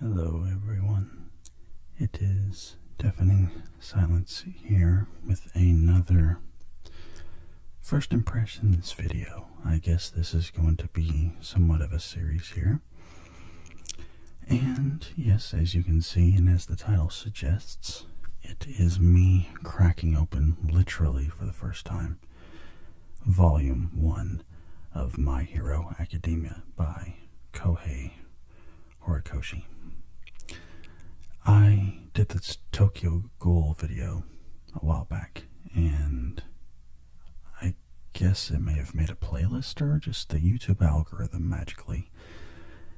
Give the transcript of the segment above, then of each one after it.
Hello, everyone. It is Deafening Silence here with another First Impressions video. I guess this is going to be somewhat of a series here. And yes, as you can see, and as the title suggests, it is me cracking open literally for the first time Volume 1 of My Hero Academia by Kohei Horikoshi. I did this Tokyo Ghoul video a while back, and I guess it may have made a playlist or just the YouTube algorithm magically,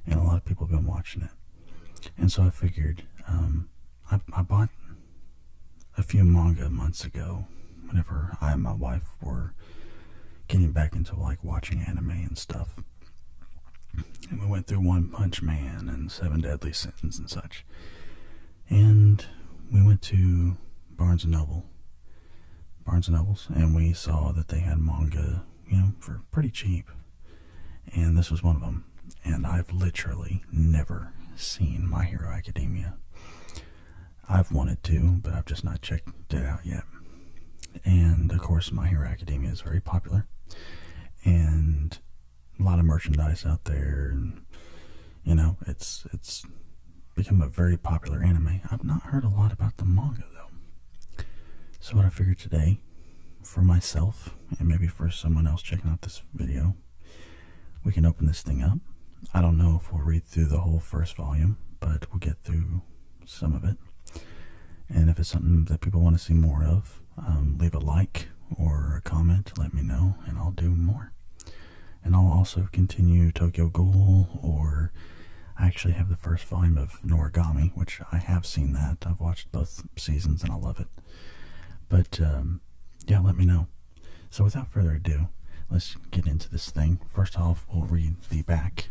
and a lot of people have been watching it. And so I figured, um, I bought a few manga months ago, whenever I and my wife were getting back into like watching anime and stuff. And we went through One Punch Man and Seven Deadly Sins and such. And we went to Barnes and Noble, Barnes and Nobles, and we saw that they had manga, you know, for pretty cheap. And this was one of them. And I've literally never seen My Hero Academia. I've wanted to, but I've just not checked it out yet. And of course, My hair Academia is very popular, and a lot of merchandise out there. And you know, it's it's become a very popular anime. I've not heard a lot about the manga though. So what I figured today, for myself and maybe for someone else checking out this video, we can open this thing up. I don't know if we'll read through the whole first volume, but we'll get through some of it. And if it's something that people want to see more of, um, leave a like or a comment, let me know, and I'll do more. And I'll also continue Tokyo Ghoul, or I actually have the first volume of Noragami, which I have seen that. I've watched both seasons and I love it. But um, yeah, let me know. So without further ado, let's get into this thing. First off, we'll read the back.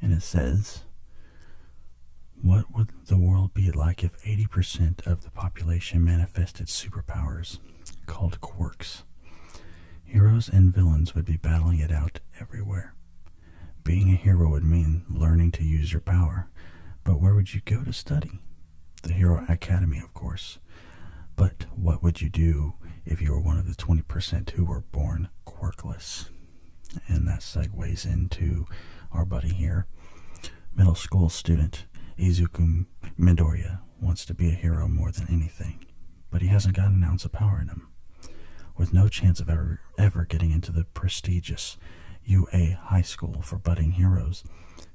And it says, What would the world be like if 80% of the population manifested superpowers called quirks? Heroes and villains would be battling it out everywhere. Being a hero would mean learning to use your power, but where would you go to study? the Hero Academy, of course. But what would you do if you were one of the 20% who were born quirkless? And that segues into our buddy here. Middle school student Izuku Midoriya wants to be a hero more than anything, but he hasn't got an ounce of power in him. With no chance of ever, ever getting into the prestigious UA High School for budding heroes,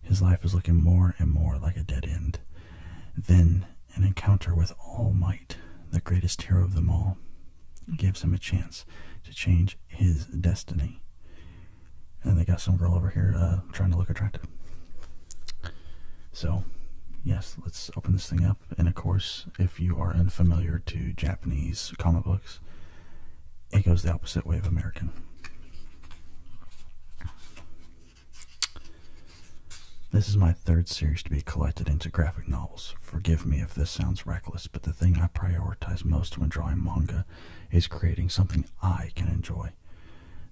his life is looking more and more like a dead end. Then an encounter with All Might, the greatest hero of them all, gives him a chance to change his destiny. And they got some girl over here uh, trying to look attractive. So, yes, let's open this thing up. And of course, if you are unfamiliar to Japanese comic books, it goes the opposite way of American. This is my third series to be collected into graphic novels. Forgive me if this sounds reckless, but the thing I prioritize most when drawing manga is creating something I can enjoy.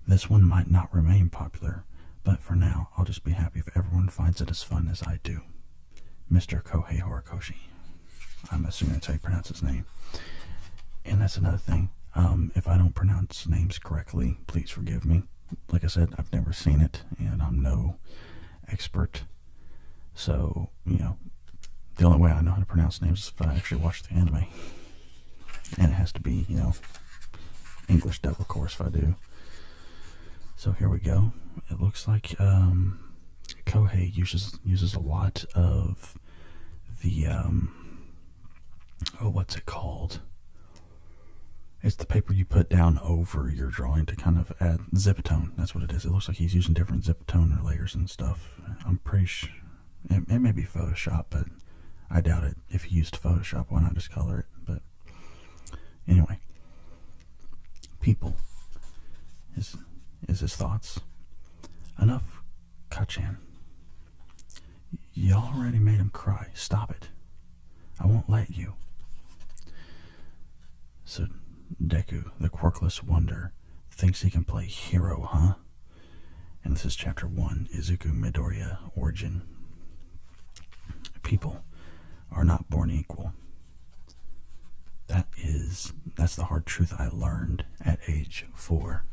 This one might not remain popular, but for now, I'll just be happy if everyone finds it as fun as I do. Mr. Kohei Horikoshi. I'm assuming that's how you pronounce his name. And that's another thing. Um, if I don't pronounce names correctly, please forgive me. Like I said, I've never seen it, and I'm no expert. So, you know, the only way I know how to pronounce names is if I actually watch the anime. And it has to be, you know, English dub, of course, if I do. So here we go. It looks like um, Kohei uses uses a lot of the um, oh, what's it called? It's the paper you put down over your drawing to kind of add zip tone. That's what it is. It looks like he's using different zip toner layers and stuff. I'm pretty sure it, it may be Photoshop, but I doubt it. If he used Photoshop, why not just color it? But anyway, people is is his thoughts. Enough, Kachan. You already made him cry. Stop it. I won't let you. So Deku, the quirkless wonder, thinks he can play hero, huh? And this is chapter 1 Izuku Midoriya Origin. People are not born equal. That is, that's the hard truth I learned at age 4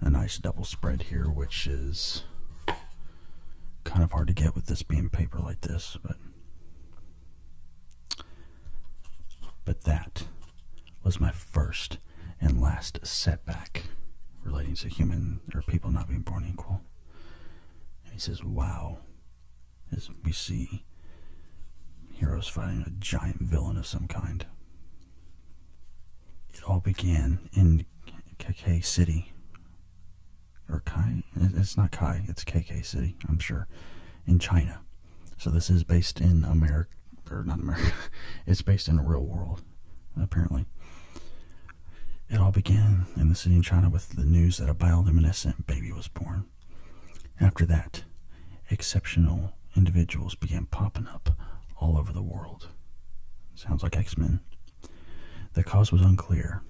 a nice double spread here, which is kind of hard to get with this being paper like this, but but that was my first and last setback relating to human or people not being born equal. he says, "Wow," as we see heroes fighting a giant villain of some kind. It all began in KK City. Or Kai? It's not Kai, it's KK City, I'm sure. In China. So this is based in America, or not America, it's based in the real world, apparently. It all began in the city in China with the news that a bioluminescent baby was born. After that, exceptional individuals began popping up all over the world. Sounds like X Men. The cause was unclear.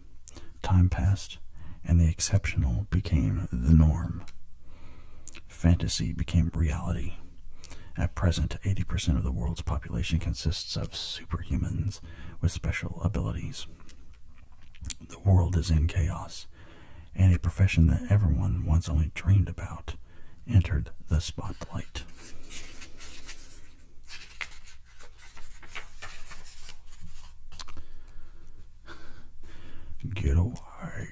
Time passed, and the exceptional became the norm. Fantasy became reality. At present, 80% of the world's population consists of superhumans with special abilities. The world is in chaos and a profession that everyone once only dreamed about entered the spotlight. Get away.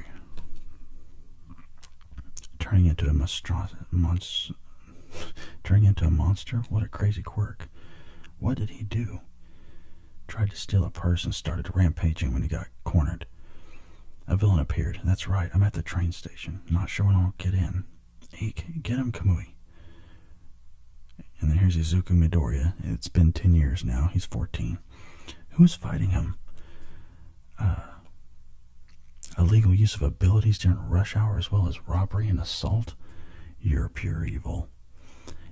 Turning into a monstro- turning into a monster? What a crazy quirk. What did he do? Tried to steal a purse and started rampaging when he got cornered. A villain appeared. That's right, I'm at the train station. Not sure when I'll get in. Eek, get him, Kamui. And then here's Izuku Midoriya. It's been 10 years now. He's 14. Who's fighting him? Uh, illegal use of abilities during rush hour as well as robbery and assault? You're pure evil.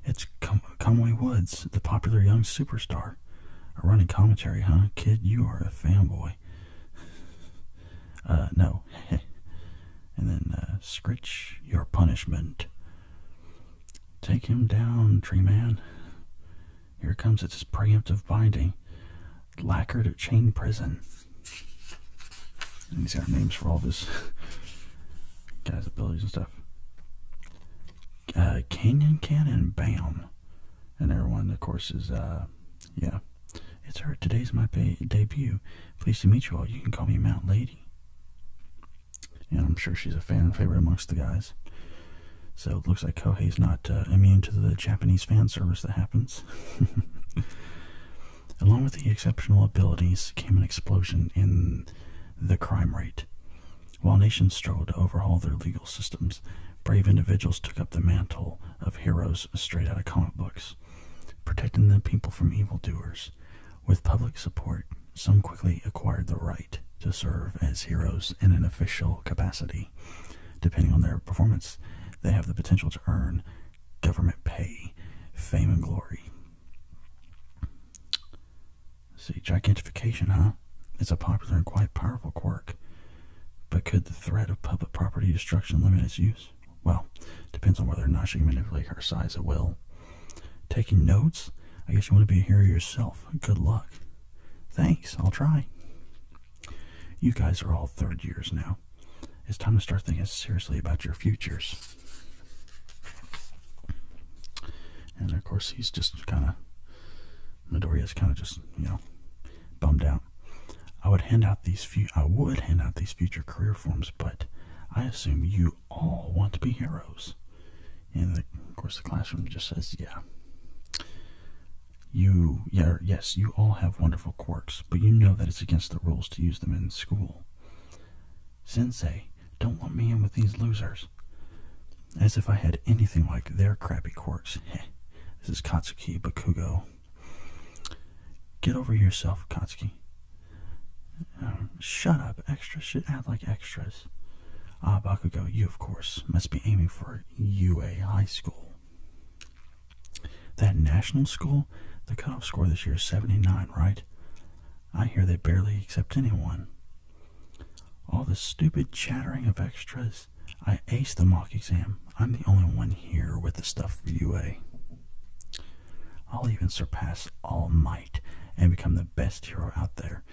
It's Com Conway Woods, the popular young superstar a running commentary, huh? Kid, you are a fanboy. uh, no. and then, uh, scritch your punishment. Take him down, tree man. Here comes its preemptive binding. Lacquered at chain prison. And these are names for all this guy's abilities and stuff. Uh, Canyon Cannon, bam. And everyone, of course, is, uh, yeah, it's her. Today's my debut. Pleased to meet you all. You can call me Mount Lady. And I'm sure she's a fan favorite amongst the guys. So it looks like Kohei's not uh, immune to the Japanese fan service that happens. Along with the exceptional abilities came an explosion in the crime rate. While nations strove to overhaul their legal systems, brave individuals took up the mantle of heroes straight out of comic books, protecting the people from evildoers. With public support, some quickly acquired the right to serve as heroes in an official capacity. Depending on their performance, they have the potential to earn government pay, fame, and glory. see, gigantification, huh? It's a popular and quite powerful quirk, but could the threat of public property destruction limit its use? Well, depends on whether or not she can manipulate her size at will. Taking notes? I guess you want to be here yourself. Good luck. Thanks, I'll try. You guys are all third years now. It's time to start thinking seriously about your futures. And of course, he's just kind of Midoriya is kind of just, you know, bummed out. I would hand out these few. I would hand out these future career forms, but I assume you all want to be heroes. And of course, the classroom just says, "Yeah, you, yeah, yes, you all have wonderful quirks, but you know that it's against the rules to use them in school." Sensei, don't let me in with these losers. As if I had anything like their crappy quirks. this is Katsuki Bakugo. Get over yourself, Katsuki. Um, shut up, extras should act like extras. Ah, Bakugo, you of course must be aiming for UA High School. That national school? The cutoff score this year is 79, right? I hear they barely accept anyone. All the stupid chattering of extras I aced the mock exam. I'm the only one here with the stuff for UA. I'll even surpass all might and become the best hero out there.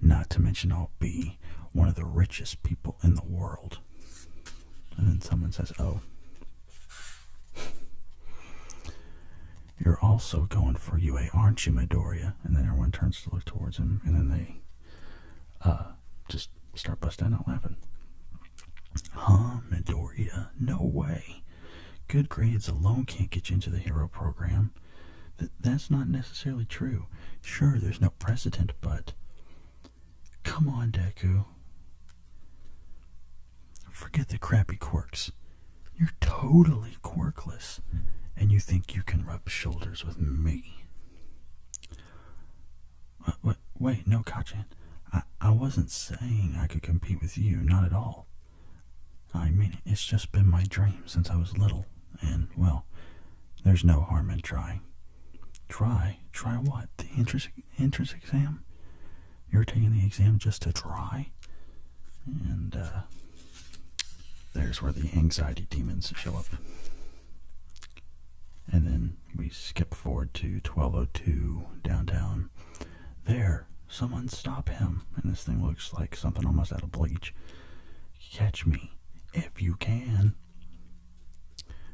Not to mention I'll be one of the richest people in the world. And then someone says, oh. You're also going for UA, aren't you, Midoriya? And then everyone turns to look towards him, and then they uh, just start busting out laughing. Huh, Midoriya? No way. Good grades alone can't get you into the hero program. Th that's not necessarily true. Sure, there's no precedent, but. Come on, Deku. Forget the crappy quirks. You're totally quirkless, and you think you can rub shoulders with me wait, no, Kachin. I, I wasn't saying I could compete with you, not at all. I mean, it's just been my dream since I was little, and, well, there's no harm in trying. Try? Try what? The entrance, entrance exam? You're taking the exam just to try? And, uh, there's where the anxiety demons show up and then we skip forward to 1202 downtown. There, someone stop him. And this thing looks like something almost out of bleach. Catch me if you can.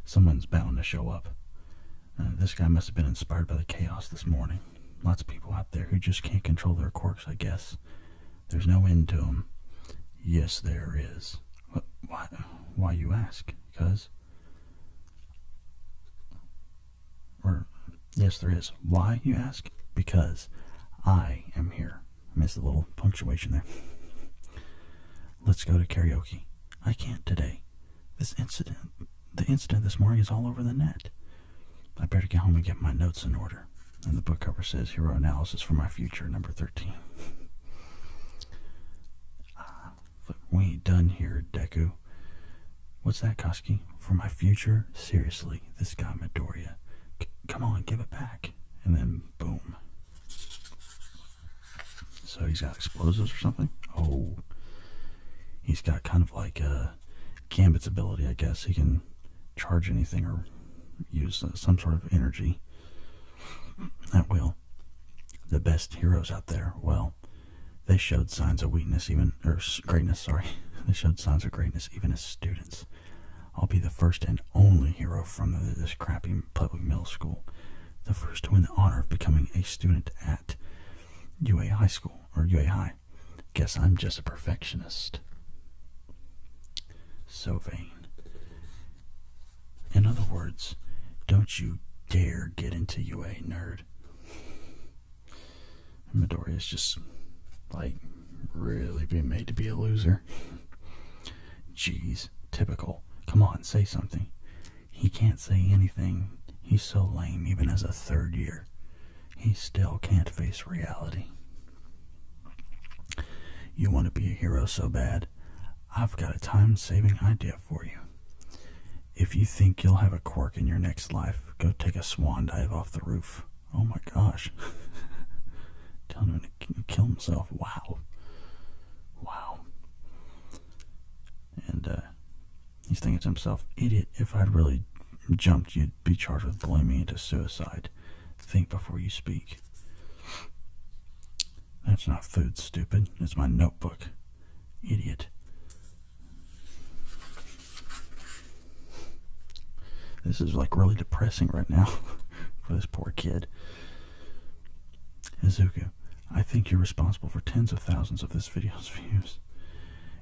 Someone's bound to show up. Uh, this guy must have been inspired by the chaos this morning. Lots of people out there who just can't control their quirks, I guess. There's no end to them. Yes, there is why, why you ask? Because, or yes, there is. Why you ask? Because I am here. I missed a little punctuation there. Let's go to karaoke. I can't today. This incident, the incident this morning is all over the net. I better get home and get my notes in order. And the book cover says Hero Analysis for My Future, number 13. Uh, look, we ain't done here, Deku. What's that, Koski? For my future? Seriously, this guy Midoriya. C come on, give it back. And then, boom. So he's got explosives or something? Oh. He's got kind of like uh, Gambit's ability, I guess. He can charge anything or use uh, some sort of energy. At will. The best heroes out there, well, they showed signs of weakness, even, or greatness, sorry. They showed signs of greatness even as students. I'll be the first and only hero from this crappy public middle school, the first to win the honor of becoming a student at UA High School, or UA High. Guess I'm just a perfectionist. So vain. In other words, don't you dare get into UA, nerd. Midori is just like really being made to be a loser. Jeez, typical. Come on, say something. He can't say anything. He's so lame, even as a third year. He still can't face reality. You want to be a hero so bad. I've got a time saving idea for you. If you think you'll have a quirk in your next life, go take a swan dive off the roof. Oh my gosh. Telling him to kill himself. Wow. Wow. And uh, he's thinking to himself, idiot, if I'd really jumped, you'd be charged with blaming me into suicide. Think before you speak. That's not food, stupid. It's my notebook. Idiot. This is like really depressing right now for this poor kid. Izuku, I think you're responsible for tens of thousands of this video's views.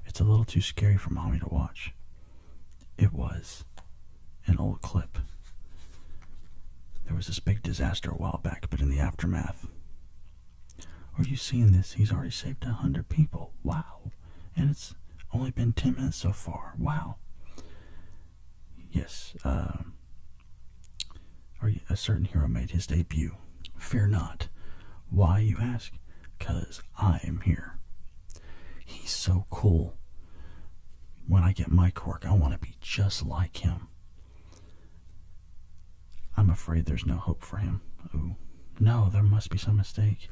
It's a little too scary for mommy to watch. It was an old clip. There was this big disaster a while back, but in the aftermath. Are you seeing this? He's already saved a hundred people. Wow. And it's only been ten minutes so far. Wow. Yes, uh, a certain hero made his debut. Fear not. Why, you ask? 'Cause I am here. He's so cool. When I get my quirk, I want to be just like him. I'm afraid there's no hope for him. Oh, no, there must be some mistake.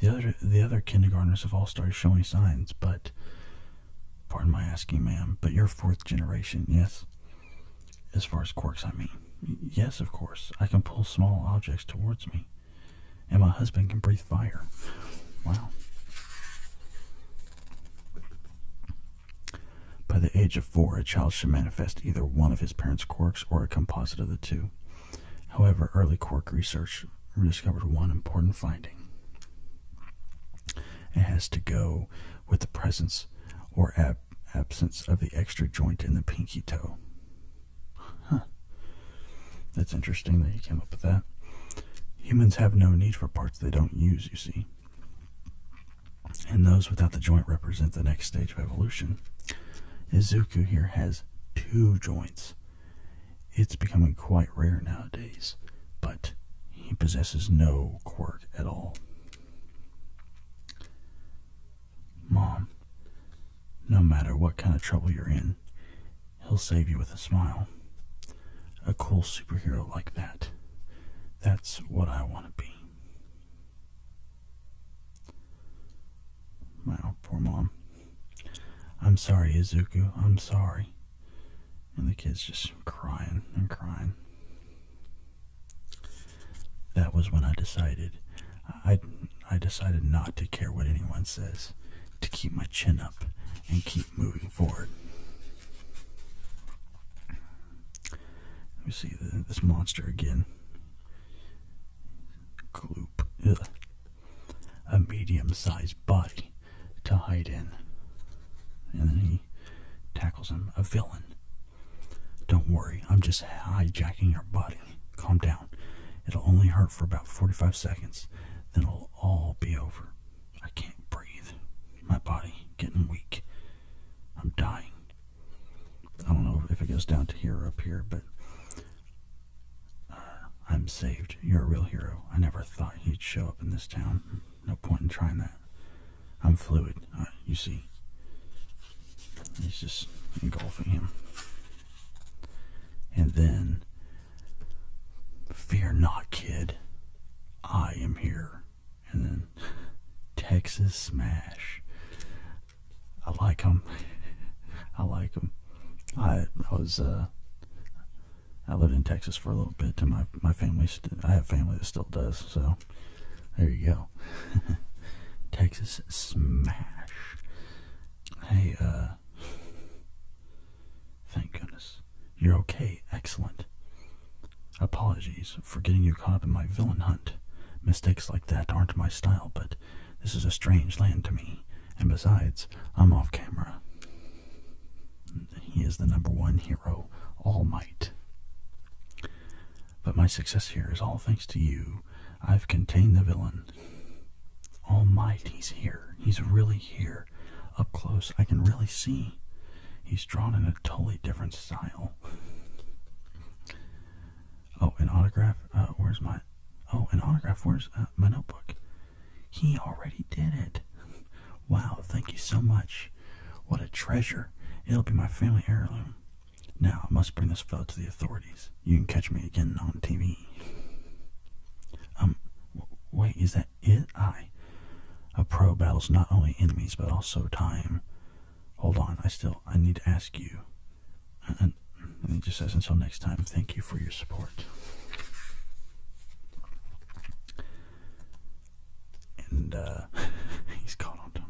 The other the other kindergartners have all started showing signs, but pardon my asking, ma'am, but you're fourth generation, yes? As far as quirks, I mean. Yes, of course. I can pull small objects towards me. And my husband can breathe fire. Wow. By the age of four, a child should manifest either one of his parents' quirks or a composite of the two. However, early quirk research rediscovered one important finding. It has to go with the presence or absence of the extra joint in the pinky toe. That's interesting that you came up with that. Humans have no need for parts they don't use, you see. And those without the joint represent the next stage of evolution. Izuku here has two joints. It's becoming quite rare nowadays, but he possesses no quirk at all. Mom, no matter what kind of trouble you're in, he'll save you with a smile a cool superhero like that. That's what I want to be. Wow, poor mom. I'm sorry, Izuku. I'm sorry. And the kid's just crying and crying. That was when I decided. I, I decided not to care what anyone says, to keep my chin up and keep moving forward. let me see this monster again. Gloop. A medium sized body to hide in. And then he tackles him. A villain. Don't worry, I'm just hijacking your body. Calm down. It'll only hurt for about 45 seconds, then it'll all be over. I can't breathe. My body getting weak. I'm dying. I don't know if it goes down to here or up here, but uh, I'm saved. You're a real hero. I never thought you'd show up in this town. No point in trying that. I'm fluid. Uh, you see. He's just engulfing him. And then, fear not, kid. I am here and then Texas Smash. I like them. I like them. I, I was uh, I lived in Texas for a little bit, and my my family I have family that still does. So there you go. Texas Smash. Hey, uh, thank goodness. You're okay, excellent. Apologies for getting you caught up in my villain hunt. Mistakes like that aren't my style, but this is a strange land to me, and besides, I'm off camera. He is the number one hero, All Might. But my success here is all thanks to you. I've contained the villain. All Might, he's here. He's really here up close, I can really see he's drawn in a totally different style. oh, an autograph. Uh, where's my? Oh, an autograph. Where's uh, my notebook? He already did it. wow! Thank you so much. What a treasure! It'll be my family heirloom. Now I must bring this fellow to the authorities. You can catch me again on TV. Um, wait, is that? It I. A pro battles not only enemies but also time. Hold on, I still I need to ask you. And, he just says until next time, thank you for your support. And uh, he's caught on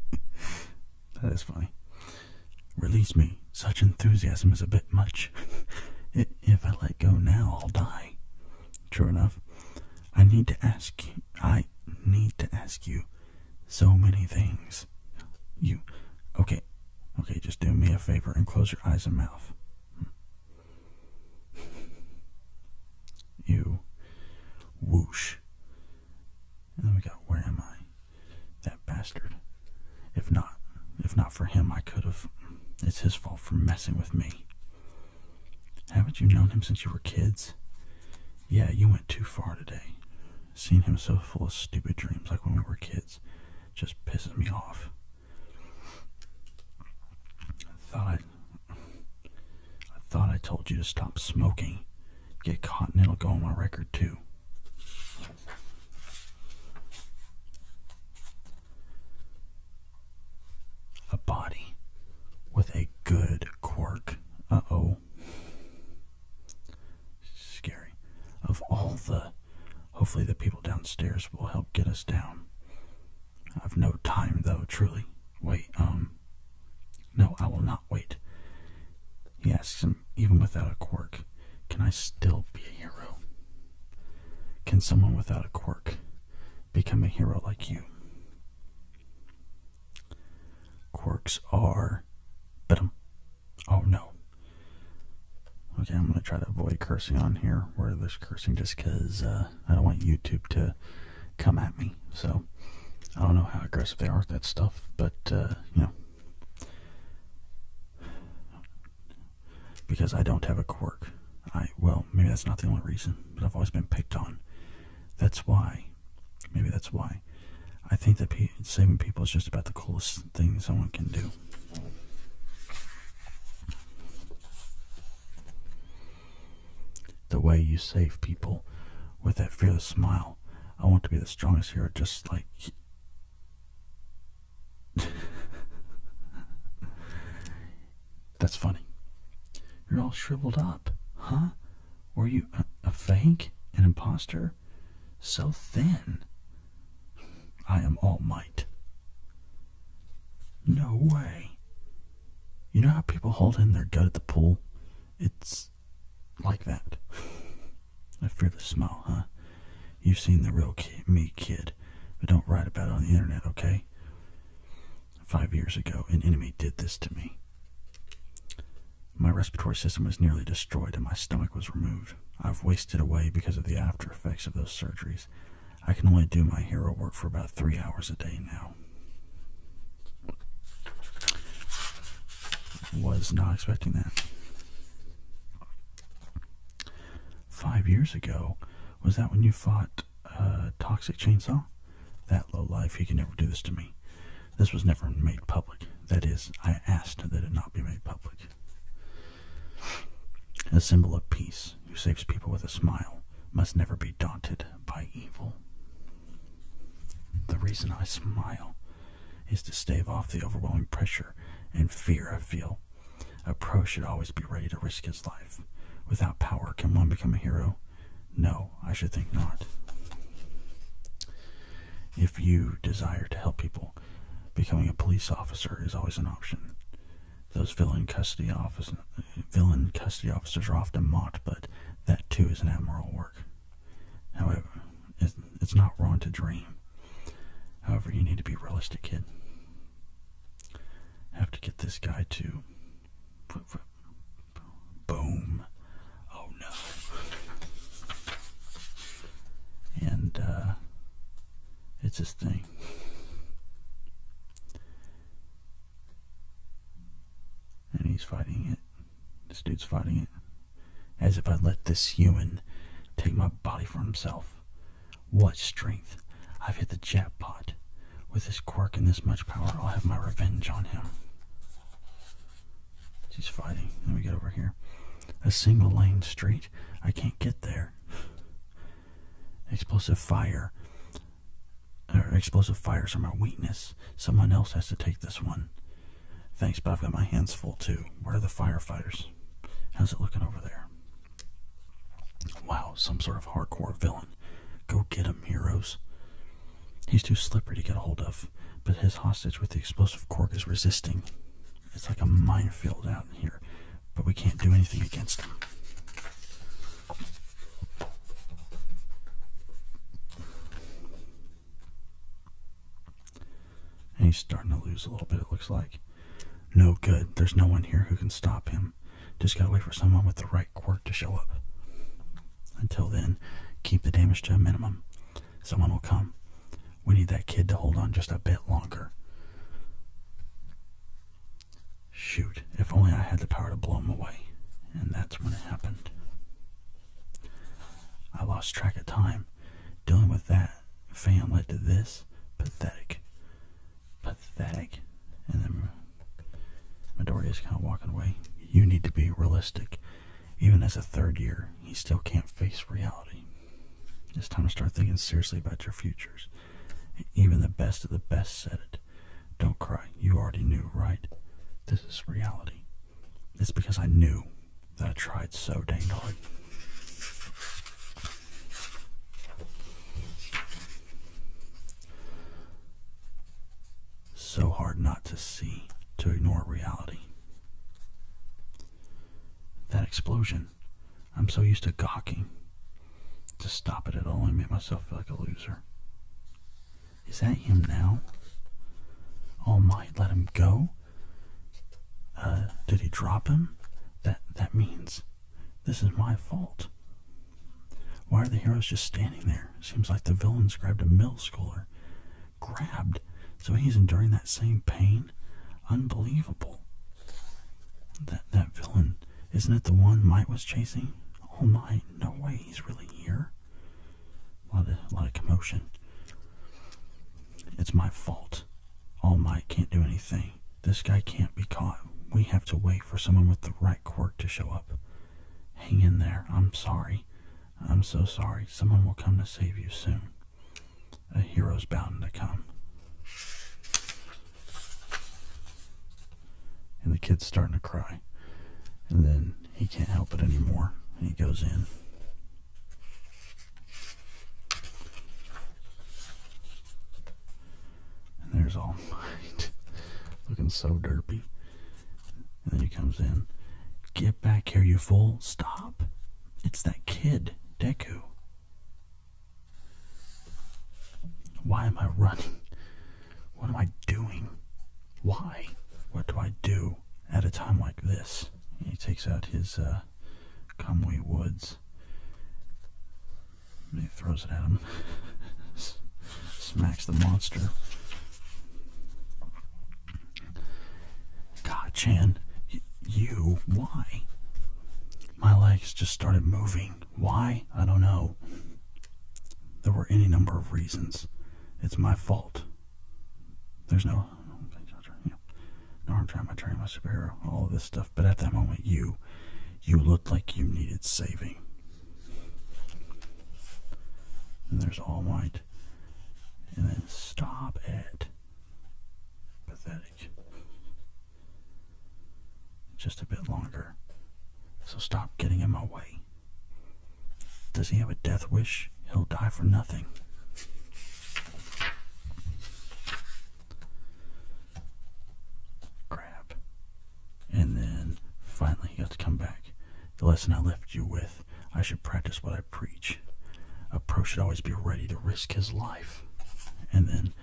that is funny. Release me. Such enthusiasm is a bit much. if I let go now, I'll die. True enough, I need to ask you. I need to ask you so many things. You. Okay. Okay, just do me a favor and close your eyes and mouth. You. Whoosh. And then we got, where am I? That bastard. If not, if not for him, I could have. It's his fault for messing with me. Haven't you known him since you were kids? Yeah, you went too far today. Seeing him so full of stupid dreams like when we were kids. Just pisses me off. I thought I thought I told you to stop smoking. Get caught and it'll go on my record too. A body with a good quirk. Uh oh. Scary. Of all the. Hopefully, the people downstairs will help get us down. I've no time, though, truly. Wait, um. No, I will not wait. He asks him, even without a quirk, can I still be a hero? Can someone without a quirk become a hero like you. Quirks are. Bidum. Oh no. Okay, I'm going to try to avoid cursing on here where there's cursing just because uh, I don't want YouTube to come at me. So I don't know how aggressive they are with that stuff, but uh, you know. Because I don't have a quirk. I, well, maybe that's not the only reason but I've always been picked on. That's why. Maybe that's why. I think that saving people is just about the coolest thing someone can do. The way you save people with that fearless smile. I want to be the strongest hero, just like. That's funny. You're all shriveled up, huh? Were you a, fake? An impostor? So thin. I am all might. No way. You know how people hold in their gut at the pool? It's like that. I fear the smell, huh? You've seen the real me, kid, but don't write about it on the internet, okay? Five years ago, an enemy did this to me. My respiratory system was nearly destroyed and my stomach was removed. I've wasted away because of the after effects of those surgeries. I can only do my hero work for about three hours a day now. Was not expecting that. Five years ago, was that when you fought a uh, Toxic Chainsaw? That low life, he can never do this to me. This was never made public. That is, I asked that it not be made public. A symbol of peace who saves people with a smile must never be daunted by evil. The reason I smile is to stave off the overwhelming pressure and fear I feel. A pro should always be ready to risk his life. Without power, can one become a hero? No, I should think not. If you desire to help people, becoming a police officer is always an option. Those villain custody, office, villain custody officers are often mocked, but that too is an admirable work. However, it's not wrong to dream. However, you need to be realistic, kid. I have to get this guy to Boom. Oh no. And uh, it's this thing. And he's fighting it. This dude's fighting it. As if I let this human take my body for himself. What strength I've hit the jackpot. With this quirk and this much power, I'll have my revenge on him. She's fighting. Let me get over here. A single lane street. I can't get there. Explosive fire. explosive fires are my weakness. Someone else has to take this one. Thanks, but I've got my hands full too. Where are the firefighters? How's it looking over there? Wow, some sort of hardcore villain. Go get him, heroes. He's too slippery to get a hold of, but his hostage with the explosive cork is resisting. It's like a minefield out here, but we can't do anything against him. he's starting to lose a little bit, it looks like. No good. There's no one here who can stop him just gotta wait for someone with the right quirk to show up. Until then, keep the damage to a minimum. Someone will come. We need that kid to hold on just a bit longer. Shoot, if only I had the power to blow him away. And that's when it happened. I lost track of time. Dealing with that fan led to this. Pathetic pathetic. And then Midoriya is kind of walking away. You need to be realistic. Even as a third year, he still can't face reality. It's time to start thinking seriously about your futures. Even the best of the best said it. Don't cry. You already knew, right? This is reality. It's because I knew that I tried so dang hard. So hard not to see, to ignore reality. That explosion, I'm so used to gawking. To stop it at all and make myself feel like a loser. Is that him now? All Might let him go? Uh, did he drop him? That that means this is my fault. Why are the heroes just standing there? Seems like the villains grabbed a mill schooler. Grabbed. So he's enduring that same pain? Unbelievable. That that villain, isn't it the one Might was chasing? Oh might. no way, he's really here. A lot of lot of commotion. It's my fault. All oh Might can't do anything. This guy can't be caught. We have to wait for someone with the right quirk to show up hang in there. I'm sorry. I'm so sorry. Someone will come to save you soon. A hero's bound to come. And the kid's starting to cry. And then he can't help it anymore. he goes in. And there's all might. Looking so derpy. And then he comes in. Get back here, you fool. Stop. It's that kid, Deku. Why am I running? What am I doing? Why? What do I do at a time like this? He takes out his uh, Woods. And he throws it at him. Smacks the monster. God, Chan, you, why? My legs just started moving. Why? I don't know. There were any number of reasons. It's my fault. There's no, you know, no harm trying my train, my superhero, all of this stuff. But at that moment, you, you looked like you needed saving. And there's all white. And then stop it. Pathetic. Just a bit longer. So stop getting in my way. Does he have a death wish? He'll die for nothing. Crap and then finally you have to come back. The lesson I left you with I should practice what I preach. A pro should always be ready to risk his life. And then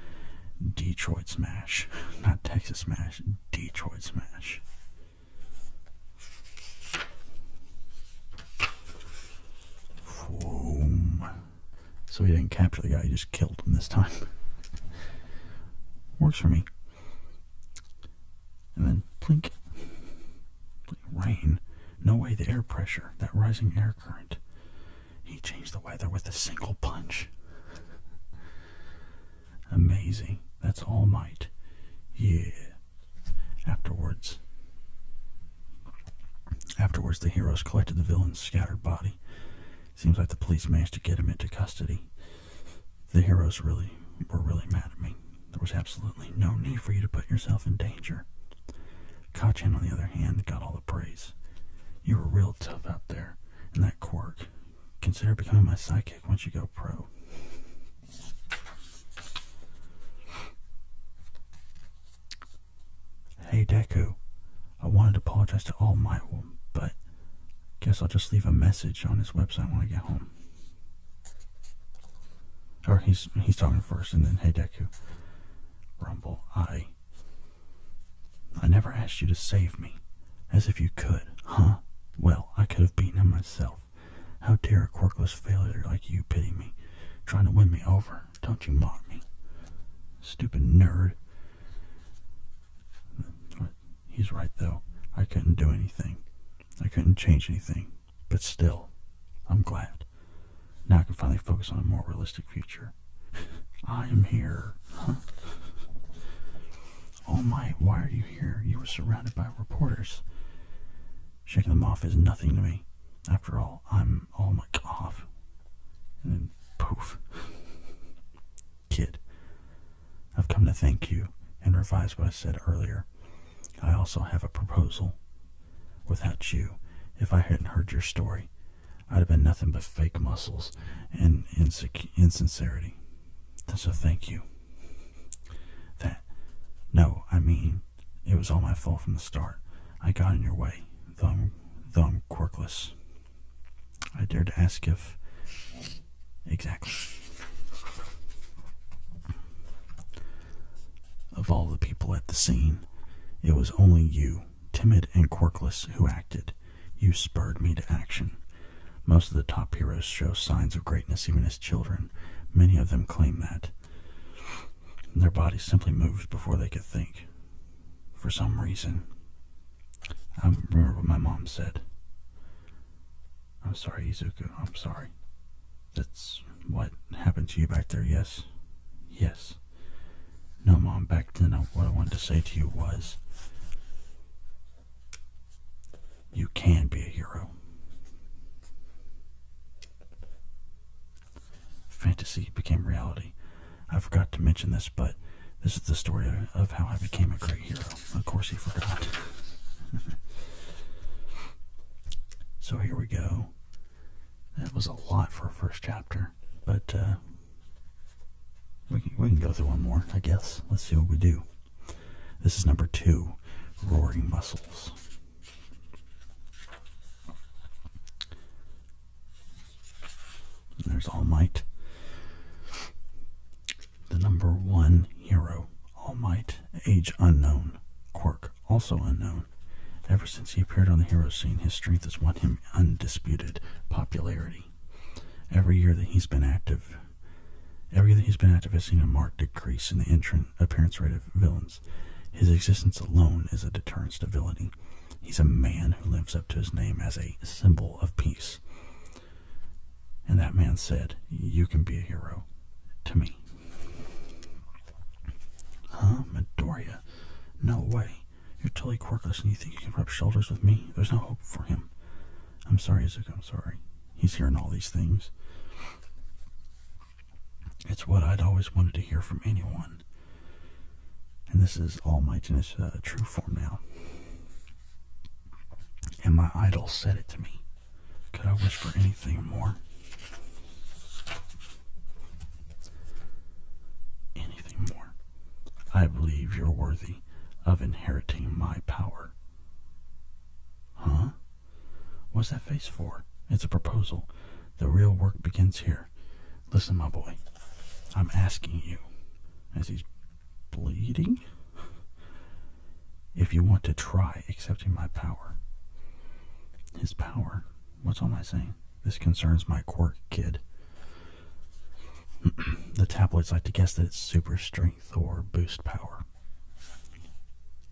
Detroit Smash, not Texas Smash, Detroit Smash. Boom. So he didn't capture the guy, he just killed him this time. Works for me and then plink. Rain. No way the air pressure, that rising air current. He changed the weather with a single punch. Amazing. That's all might. Yeah. Afterwards. Afterwards, the heroes collected the villain's scattered body. Seems like the police managed to get him into custody the heroes really were really mad at me. There was absolutely no need for you to put yourself in danger. Kachin, on the other hand, got all the praise. You were real tough out there and that quirk. Consider becoming my sidekick once you go pro. Hey Deku, I wanted to apologize to All Might, but Guess I'll just leave a message on his website when I get home. Or he's he's talking first, and then hey Deku, Rumble, I I never asked you to save me, as if you could, huh? Well, I could have beaten him myself. How dare a corkless failure like you pity me, trying to win me over? Don't you mock me, stupid nerd. He's right, though. I couldn't do anything. I couldn't change anything. But still, I'm glad. Now I can finally focus on a more realistic future. I am here. Huh? Oh my, why are you here? You were surrounded by reporters. Shaking them off is nothing to me. After all, I'm all my cough. And then poof. Kid. I've come to thank you and revise what I said earlier. I also have a proposal. Without you, if I hadn't heard your story, I'd have been nothing but fake muscles and insincerity. So thank you. That, no, I mean, it was all my fault from the start. I got in your way, though I'm, though I'm quirkless. I dared to ask if Exactly. Of all the people at the scene, it was only you, timid and quirkless, who acted. You spurred me to action. Most of the top heroes show signs of greatness even as children. Many of them claim that. Their bodies simply move before they could think. For some reason. I remember what my mom said. I'm sorry, Izuku. I'm sorry. That's what happened to you back there, yes? Yes. No, Mom, back then, what I wanted to say to you was you can be a hero. Fantasy became reality. I forgot to mention this, but this is the story of how I became a great hero of course, he forgot. so, here we go. That was a lot for a first chapter, but uh, we, can, we can go through one more, I guess. Let's see what we do. This is number two Roaring Muscles. There's All Might the number one hero, All Might, age unknown, Quirk, also unknown. Ever since he appeared on the hero scene, his strength has won him undisputed popularity. Every year that he's been active, every year that he's been active has seen a marked decrease in the entrant appearance rate of villains. His existence alone is a deterrent to villainy. He's a man who lives up to his name as a symbol of peace. And that man said, You can be a hero to me. Huh? Midoriya? No way. You're totally quirkless and you think you can rub shoulders with me? There's no hope for him. I'm sorry, Izuku. I'm sorry. He's hearing all these things. It's what I'd always wanted to hear from anyone. And this is All Might uh, true form now. And my idol said it to me. Could I wish for anything more? Anything more. I believe you're worthy of inheriting my power. Huh? What's that face for? It's a proposal. The real work begins here. Listen, my boy, I'm asking you, as he's bleeding? if you want to try accepting my power. His power? What's all I saying? This concerns my quirk, kid. the tabloids like to guess that it's super strength or boost power.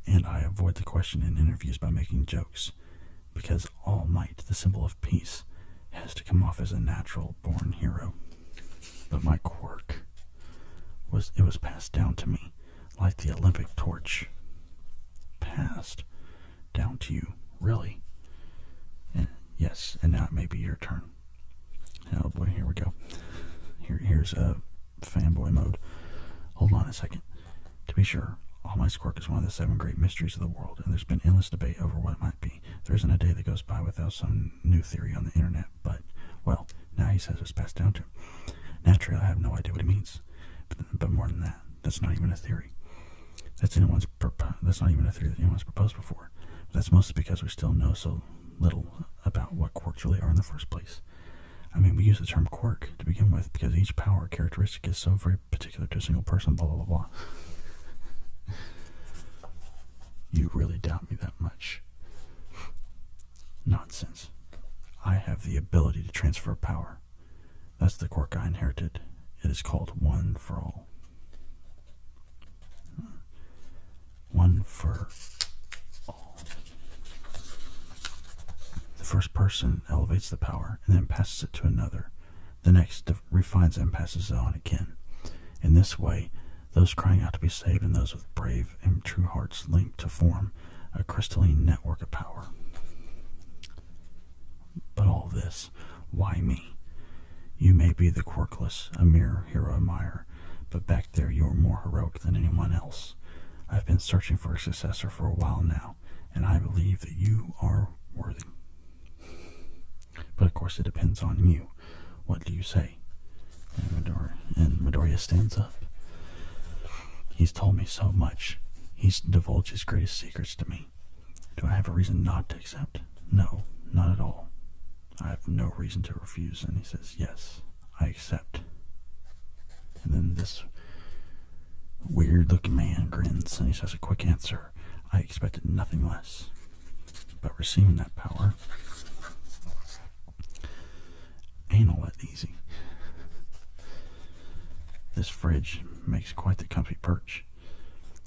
And I avoid the question in interviews by making jokes, because All Might, the symbol of peace, has to come off as a natural born hero. But my quirk was it was passed down to me like the Olympic torch. Passed down to you, really. And yes, and now it may be your turn. Oh boy, here we go. Here, here's a fanboy mode. Hold on a second. To be sure, all my quirk is one of the seven great mysteries of the world, and there's been endless debate over what it might be. There isn't a day that goes by without some new theory on the internet but, well, now he says it's passed down to him. Naturally, I have no idea what he means. But, more than that, that's not even a theory. That's not even a theory that anyone's proposed before. that's mostly because we still know so little about what quirks really are in the first place. I mean, we use the term quirk to begin with because each power characteristic is so very particular to a single person, blah, blah, blah, blah. you really doubt me that much. Nonsense. I have the ability to transfer power. That's the quirk I inherited. It is called One for All. One for all. The first person elevates the power and then passes it to another. The next refines it and passes it on again. In this way, those crying out to be saved and those with brave and true hearts linked to form a crystalline network of power. But all this, why me? You may be the quirkless, a mere hero admirer, but back there you are more heroic than anyone else. I've been searching for a successor for a while now, and I believe that you are worthy. But of course, it depends on you. What do you say? And Midori, Midoriya stands up. He's told me so much. He's divulged his greatest secrets to me. Do I have a reason not to accept? No, not at all. I have no reason to refuse. And he says, Yes, I accept. And then this weird looking man grins and he says, A quick answer. I expected nothing less. But receiving that power, Ain't all that easy. this fridge makes quite the comfy perch.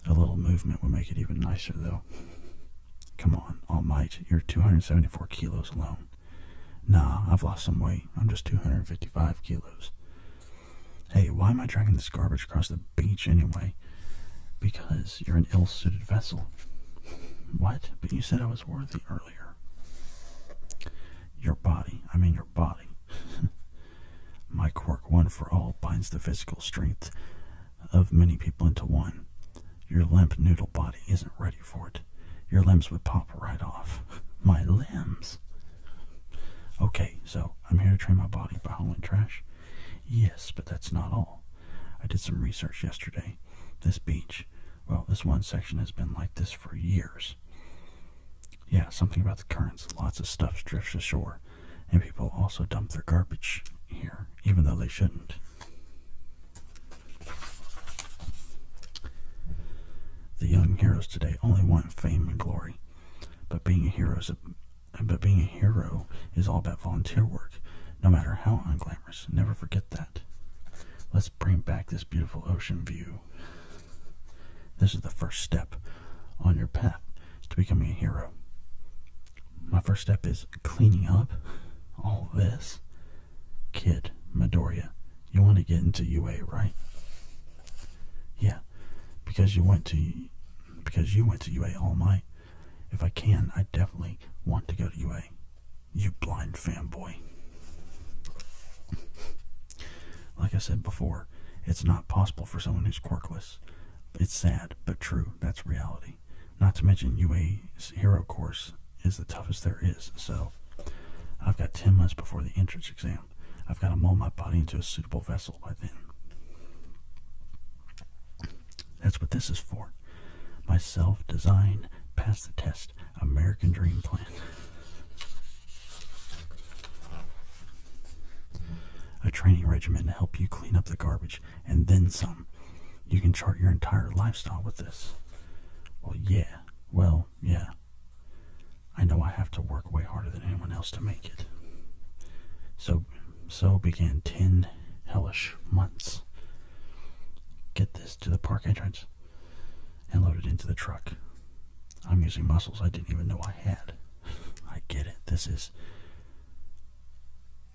A little movement would make it even nicer, though. Come on, all You're 274 kilos alone. Nah, I've lost some weight. I'm just 255 kilos. Hey, why am I dragging this garbage across the beach anyway? Because you're an ill suited vessel. What? But you said I was worthy earlier your body. I mean your body. My quirk one for all binds the physical strength of many people into one. Your limp noodle body isn't ready for it. Your limbs would pop right off. My limbs. Okay, so I'm here to train my body by hauling trash. Yes, but that's not all. I did some research yesterday. This beach well, this one section has been like this for years. Yeah, something about the currents. Lots of stuff drifts ashore, and people also dump their garbage here, even though they shouldn't. The young heroes today only want fame and glory, but being a hero is all about volunteer work, no matter how unglamorous. Never forget that. Let's bring back this beautiful ocean view. This is the first step on your path to becoming a hero. My first step is cleaning up all this. Kid, Midoriya, you want to get into UA, right? Yeah, because you went to because you went to UA All Might. If I can, I definitely want to go to UA. You blind fanboy. like I said before, it's not possible for someone who's quirkless. It's sad, but true. That's reality. Not to mention, UA's hero course is the toughest there is. So, I've got 10 months before the entrance exam. I've got to mold my body into a suitable vessel by then. That's what this is for. Myself, design pass the test. American Dream Plan. A training regimen to help you clean up the garbage and then some. You can chart your entire lifestyle with this. Well, yeah. Well, yeah. I know I have to work way harder than anyone else to make it. So, so began ten hellish months. Get this to the park entrance and loaded into the truck. I'm using muscles I didn't even know I had. I get it. This is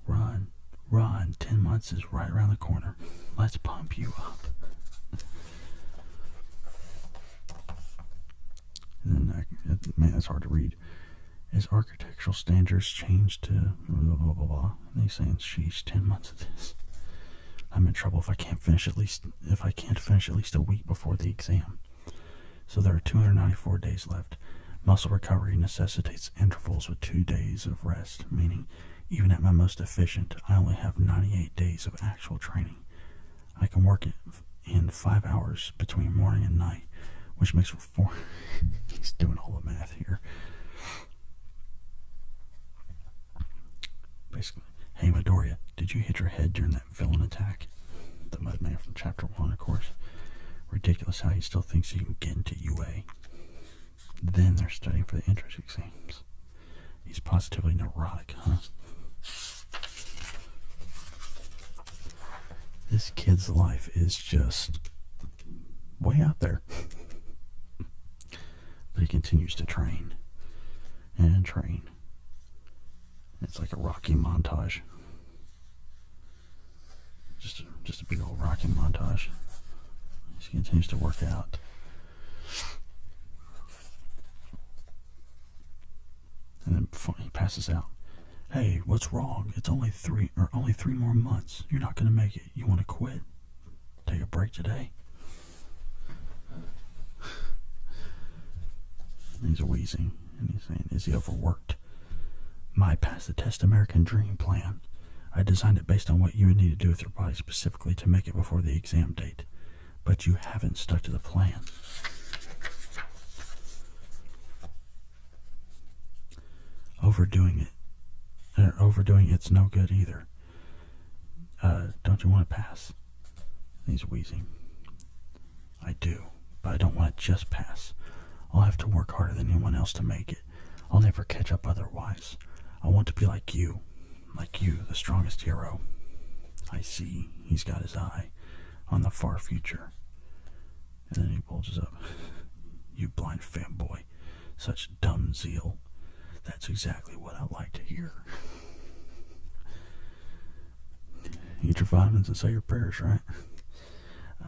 run, run. 10 months is right around the corner. Let's pump you up. And then, man, it's hard to read. As architectural standards change to blah blah, blah they say saying, 10 months of this. I'm in trouble if I can't finish at least if I can't finish at least a week before the exam. So there are 294 days left. Muscle recovery necessitates intervals with two days of rest, meaning even at my most efficient, I only have 98 days of actual training. I can work it in five hours between morning and night, which makes for four. He's doing all the math here. Basically, hey Midoriya, did you hit your head during that villain attack? The Mudman from Chapter 1, of course. Ridiculous how he still thinks he can get into UA. Then they're studying for the entrance exams. He's positively neurotic, huh? This kid's life is just way out there. But he continues to train and train. It's like a Rocky montage. Just a, just a big old Rocky montage. He continues to work out. And then he passes out. Hey, what's wrong? It's only three or only three more months. You're not gonna make it. You want to quit? take a break today. He's wheezing and he's saying, Is he overworked? My Pass the Test American Dream Plan. I designed it based on what you would need to do with your body specifically to make it before the exam date. But you haven't stuck to the plan. Overdoing it. Or uh, overdoing it's no good either. Uh, don't you want to pass? He's wheezing. I do, but I don't want to just pass. I'll have to work harder than anyone else to make it. I'll never catch up otherwise. I want to be like you. Like you, the strongest hero. I see he's got his eye on the far future. And then he bulges up. you blind fanboy such dumb zeal. That's exactly what I like to hear. Eat your vitamins and say your prayers, right?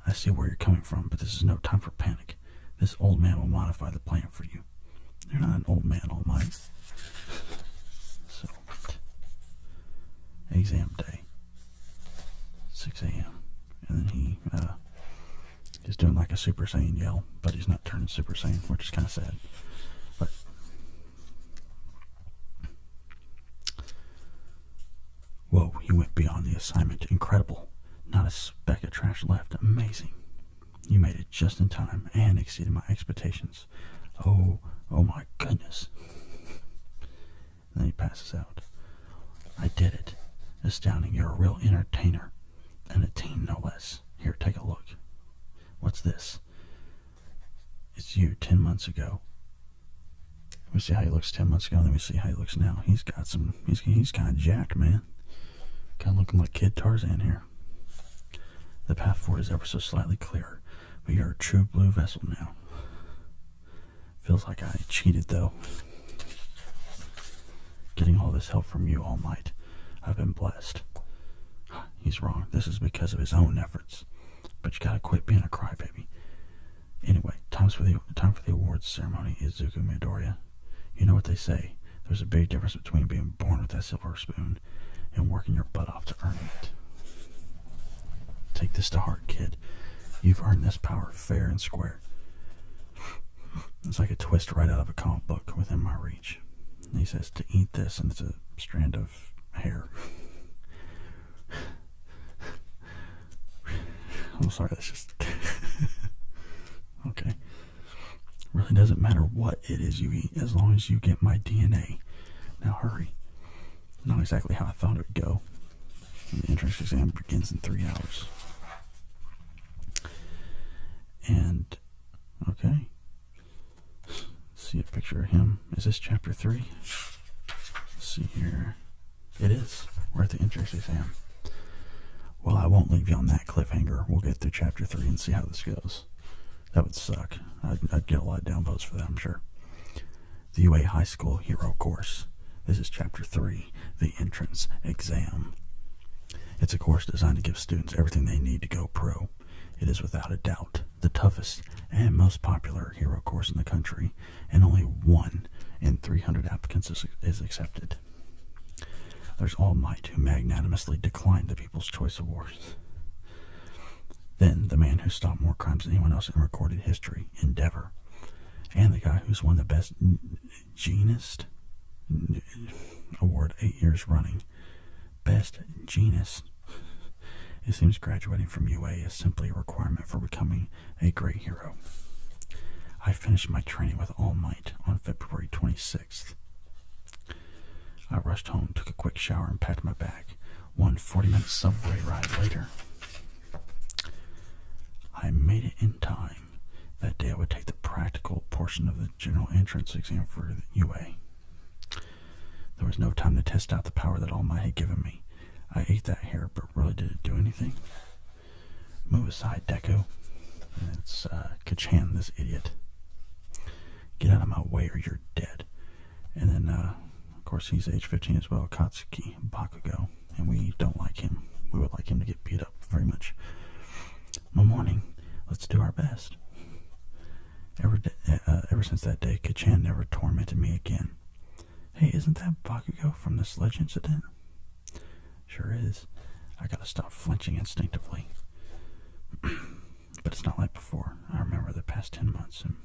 I see where you're coming from, but this is no time for panic. This old man will modify the plan for you. You're not an old man, Almighty. So, exam day, 6 a.m. And then he uh, He's doing like a Super Saiyan yell, but he's not turning Super Saiyan, which is kind of sad. But whoa, he went beyond the assignment. Incredible. Not a speck of trash left. Amazing. You made it just in time and exceeded my expectations. Oh, oh my goodness. then he passes out. I did it. Astounding. You're a real entertainer. An attain no less. Here, take a look. What's this? It's you ten months ago. We see how he looks ten months ago, and then we see how he looks now. He's got some. He's he's kind of jacked, man. Kind of looking like Kid Tarzan here. The path forward is ever so slightly clearer. We are a true blue vessel now. Feels like I cheated though. Getting all this help from you, All Might. I've been blessed. He's wrong. This is because of his own efforts. But you gotta quit being a crybaby. Anyway, time's for the time for the awards ceremony. Izuku Midoriya. You know what they say. There's a big difference between being born with that silver spoon and working your butt off to earn it. Take this to heart, kid. You've earned this power fair and square. It's like a twist right out of a comic book within my reach he says to eat this, and it's a strand of hair. I'm sorry, that's just okay. Really doesn't matter what it is you eat as long as you get my DNA. Now hurry. Not exactly how I thought it would go. The entrance exam begins in three hours. And okay, see a picture of him. Is this chapter 3? see here. It is. We're at the entrance exam. Well, I won't leave you on that cliffhanger. We'll get through chapter 3 and see how this goes. That would suck. I'd, get a lot of downvotes for that, I'm sure. The UA High School Hero Course. This is chapter 3, the entrance exam. It's a course designed to give students everything they need to go pro. It is without a doubt the toughest and most popular hero course in the country, and only one in 300 applicants is, accepted. There's All Might, who magnanimously declined the People's Choice Awards. Then the man who stopped more crimes than anyone else in recorded history, Endeavor, and the guy who's won the best genist award eight years running, best genus. It seems graduating from UA is simply a requirement for becoming a great hero. I finished my training with All Might on February 26th. I rushed home, took a quick shower, and packed my bag. One 40 minute subway ride later, I made it in time. That day I would take the practical portion of the general entrance exam for the UA. There was no time to test out the power that Almighty had given me. I ate that hair, but really did not do anything? Move aside, Deco. It's uh, Kachan, this idiot. Get out of my way or you're dead. And then, uh, of course, he's age 15 as well, Katsuki Bakugo. And we don't like him. We would like him to get beat up very much. My morning. Let's do our best. Uh, ever, since that day, Kachan never tormented me again. Hey, isn't that Bakugo from the sledge incident? Sure is. I gotta stop flinching instinctively. but it's not like before. I remember the past ten months and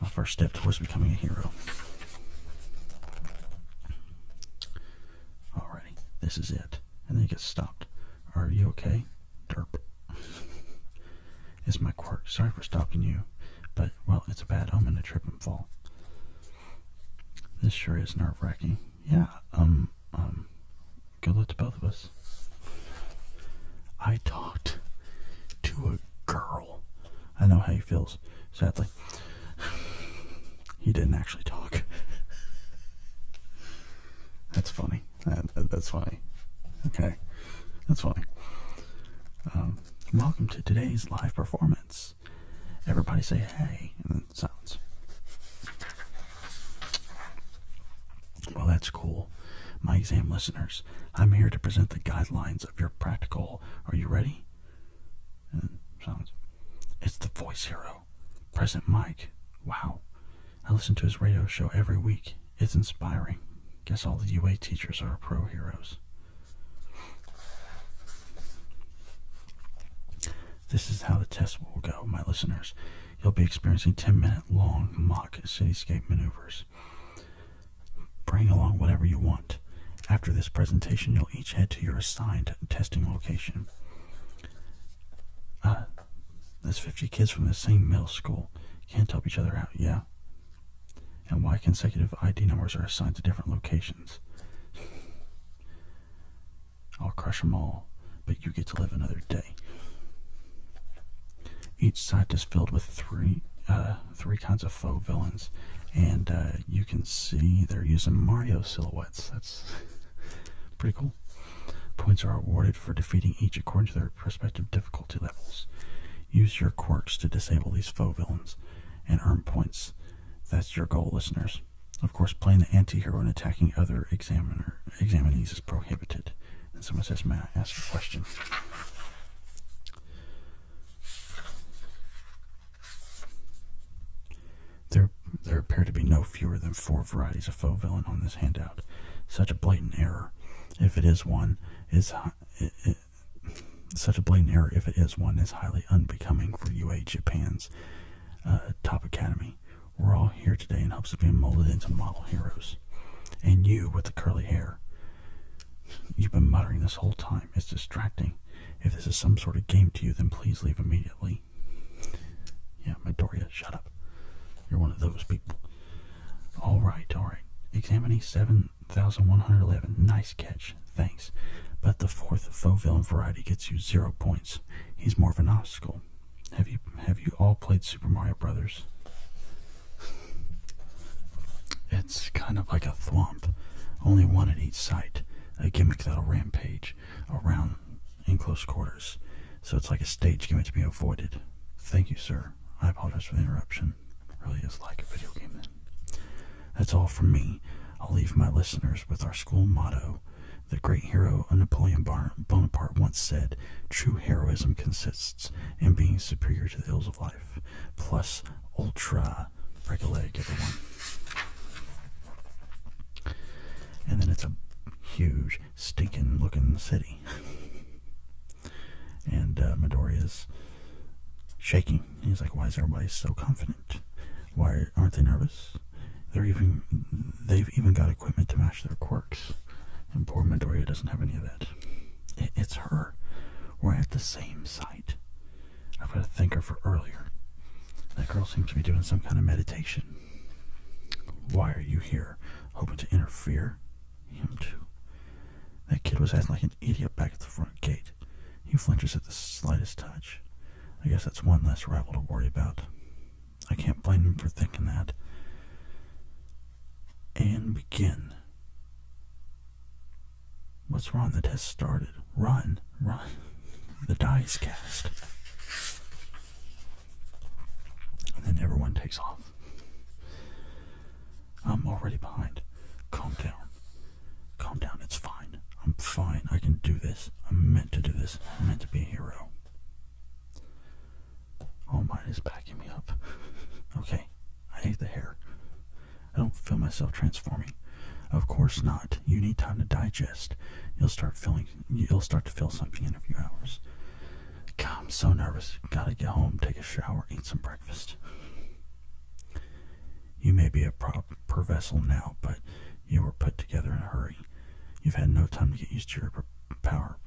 my first step towards becoming a hero. Alrighty, this is it. And then it gets stopped. Are you okay? Derp. it's my quirk. Sorry for stalking you, but, well, it's a bad omen to trip and fall. This sure is nerve wracking. Yeah, um, um, good luck to both of us. I talked to a girl. I know how he feels, sadly. he didn't actually talk. That's funny. That, that's funny. Okay, that's funny. Um, welcome to today's live performance. Everybody say hey, and then silence. Well, that's cool. My exam listeners, I'm here to present the guidelines of your practical. Are you ready? And silence. It's the voice hero. Present Mike. Wow. I listen to his radio show every week. It's inspiring. Guess all the UA teachers are pro heroes. This is how the test will go, my listeners. You'll be experiencing 10 minute long mock cityscape maneuvers. Bring along whatever you want. After this presentation, you'll each head to your assigned testing location. Uh, there's 50 kids from the same middle school. Can't help each other out, yeah? And why consecutive ID numbers are assigned to different locations? I'll crush them all, but you get to live another day. Each side is filled with three uh, three kinds of faux villains, and uh, you can see they're using Mario silhouettes. That's Pretty cool. Points are awarded for defeating each according to their respective difficulty levels. Use your quirks to disable these faux villains and earn points. That's your goal, listeners. Of course, playing the anti-hero and attacking other examiner examinees is prohibited. And someone says, may I ask a question? There there appear to be no fewer than four varieties of faux villain on this handout. Such a blatant error, if it is one, is such a blatant error, if it is one, is highly unbecoming for UA Japan's uh, top academy. We're all here today in hopes of being molded into model heroes. And you with the curly hair. You've been muttering this whole time. It's distracting. If this is some sort of game to you, then please leave immediately. Yeah, Midoriya, shut up. You're one of those people. All right, all right. Examining 7,111. Nice catch. Thanks. But the fourth faux villain variety gets you zero points. He's more of an obstacle. Have you have you all played Super Mario Brothers? It's kind of like a thwomp. Only one at each site. A gimmick that'll rampage around in close quarters. So it's like a stage game to be avoided. Thank you, sir. I apologize for the interruption. It really is like a video game That's all from me. I'll leave my listeners with our school motto. The great hero of Napoleon Bonaparte once said, True heroism consists in being superior to the ills of life. Plus, ultra. Break everyone. And then it's a huge stinking looking city. and uh, Midori is shaking. He's like, Why is everybody so confident? Why aren't they nervous? They're even they've even got equipment to match their quirks. And poor Midoriya doesn't have any of that. it's her. We're at the same site. I've got to thank her for earlier. That girl seems to be doing some kind of meditation. Why are you here? Hoping to interfere? Him too. That kid was acting like an idiot back at the front gate. He flinches at the slightest touch. I guess that's one less rival to worry about. I can't blame him for thinking that. And begin. What's wrong? The test started. Run, run. The dice cast. And then everyone takes off. I'm already behind. Calm down. Calm down. It's fine. I'm fine. I can do this. I'm meant to do this. I'm meant to be a hero. All oh, mine is backing me up. okay. I hate the hair. I don't feel myself transforming. Of course not. You need time to digest. You'll start feeling you'll start to feel something in a few hours. God, I'm so nervous. Gotta get home, take a shower, eat some breakfast. You may be a prop per vessel now, but you were put together in a hurry. You've had no time to get used to your power.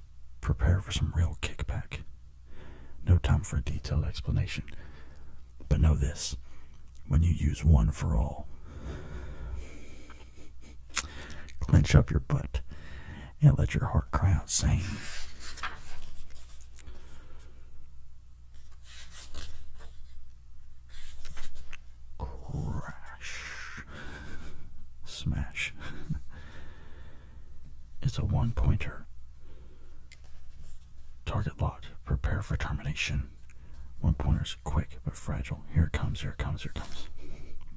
Prepare for some real kickback. No time for a detailed explanation. But know this when you use one for all, Clench up your butt and let your heart cry out saying, Crash. Smash. it's a one pointer. Target lot, Prepare for termination. One pointers, quick but fragile. Here it comes, here it comes, here it comes.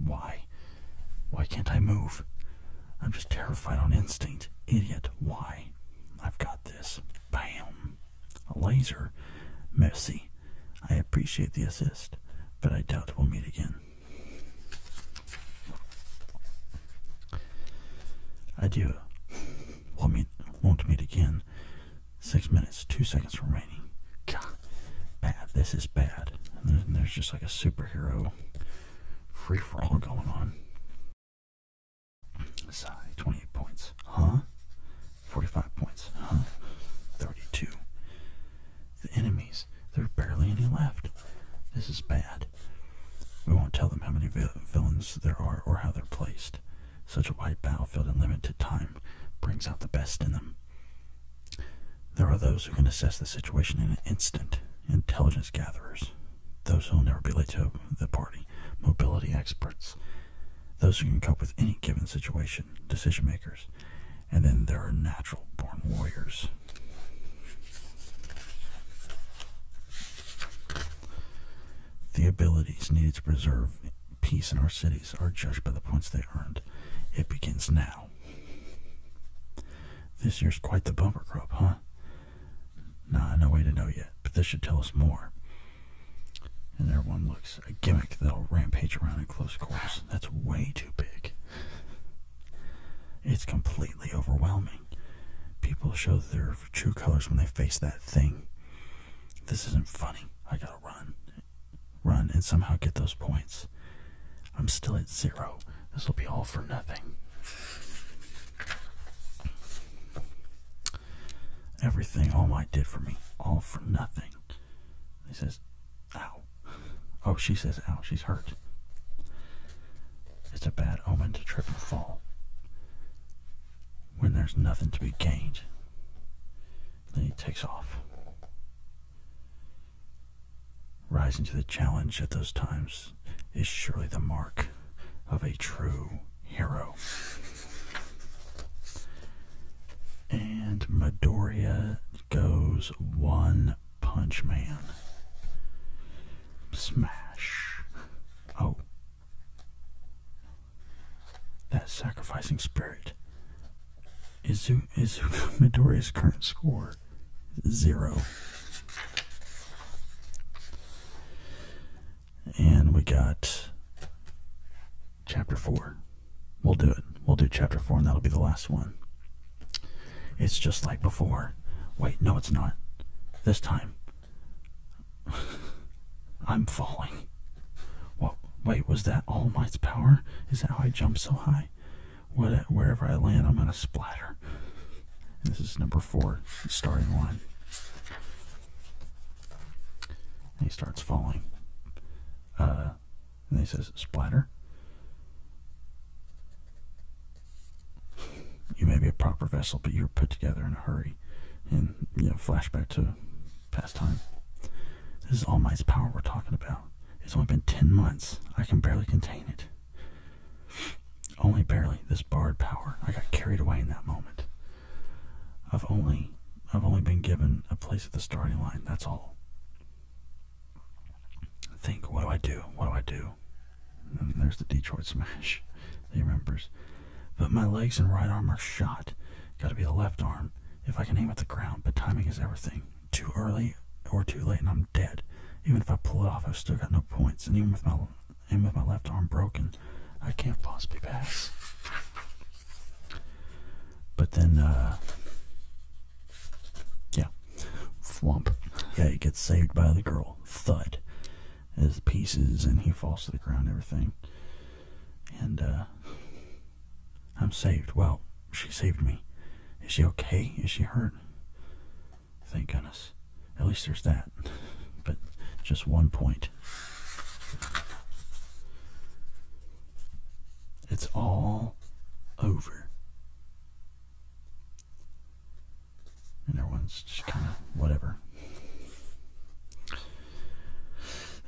Why? Why? can't I move? I'm just terrified on instinct. Idiot. Why? I've got this. Bam. A laser. Merci. I appreciate the assist, but I doubt we'll meet again. Adieu. We'll meet, won't meet again. Six minutes, two seconds remaining. God, bad. This is bad. And there's just like a superhero free for all going on. Sigh, 28 points. Huh? 45 points. Huh? 32. The enemies, there are barely any left. This is bad. We won't tell them how many villains there are or how they're placed. Such a white wide battlefield in limited time brings out the best in them. There are those who can assess the situation in an instant, intelligence gatherers, those who will never be late to the party, mobility experts, those who can cope with any given situation, decision makers, and then there are natural born warriors. The abilities needed to preserve peace in our cities are judged by the points they earned. It begins now. This year's quite the bumper crop, huh? Nah, no way to know yet, but this should tell us more. And there one looks a gimmick that'll rampage around in close quarters. That's way too big. It's completely overwhelming. People show their true colors when they face that thing. This isn't funny. I gotta run. Run and somehow get those points. I'm still at zero. This will be all for nothing. Everything all Might did for me, all for nothing. He says, ow. Oh, she says, ow, she's hurt. It's a bad omen to trip and fall when there's nothing to be gained. Then he takes off. Rising to the challenge at those times is surely the mark of a true hero. And Midoriya goes One Punch Man. Smash. Oh. That sacrificing spirit Isu Isu Midori's current score zero. And we got chapter four. We'll do it. We'll do chapter four, and that'll be the last one. It's just like before. Wait, no, it's not. This time, I'm falling. What? Wait, was that all might's power? Is that how I jumped so high? wherever I land, I'm going to splatter. this is number four, starting one. And he starts falling. Uh, and he says, Splatter. You may be a proper vessel, but you were put together in a hurry. And, you know, flashback to past time. This is all my power we're talking about. It's only been 10 months. I can barely contain it. Only barely this barred power. I got carried away in that moment. I've only I've only been given a place at the starting line, that's all. Think, what do I do? What do I do? there's the Detroit smash. He remembers. But my legs and right arm are shot. Gotta be the left arm. If I can aim at the ground, but timing is everything too early or too late and I'm dead. Even if I pull it off, I've still got no points. And even with my and with my left arm broken, I can't possibly pass. But then, uh, yeah, Swamp. Yeah, he gets saved by the girl. Thud, as pieces, and he falls to the ground. Everything, and uh, I'm saved. Well, she saved me. Is she okay? Is she hurt? Thank goodness. At least there's that. But just one point. It's all over. And everyone's just kind of whatever.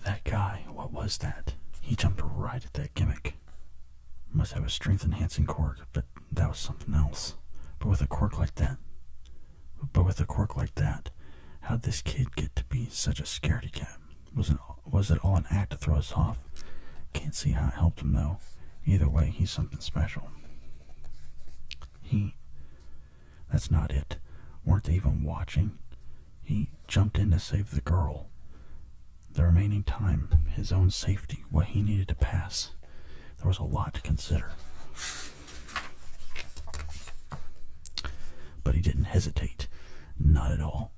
That guy, what was that? He jumped right at the gimmick. Must have a strength enhancing quirk, but that was something else. But with a quirk like that, but with a quirk like that, how'd this kid get to be such a scaredy cat? Was it, was it all an act to throw us off? Can't see how it helped him though. Either way, he's something special. He. That's not it. Weren't even watching? He jumped in to save the girl the remaining time, his own safety, what he needed to pass. There was a lot to consider. But he didn't hesitate. Not at all.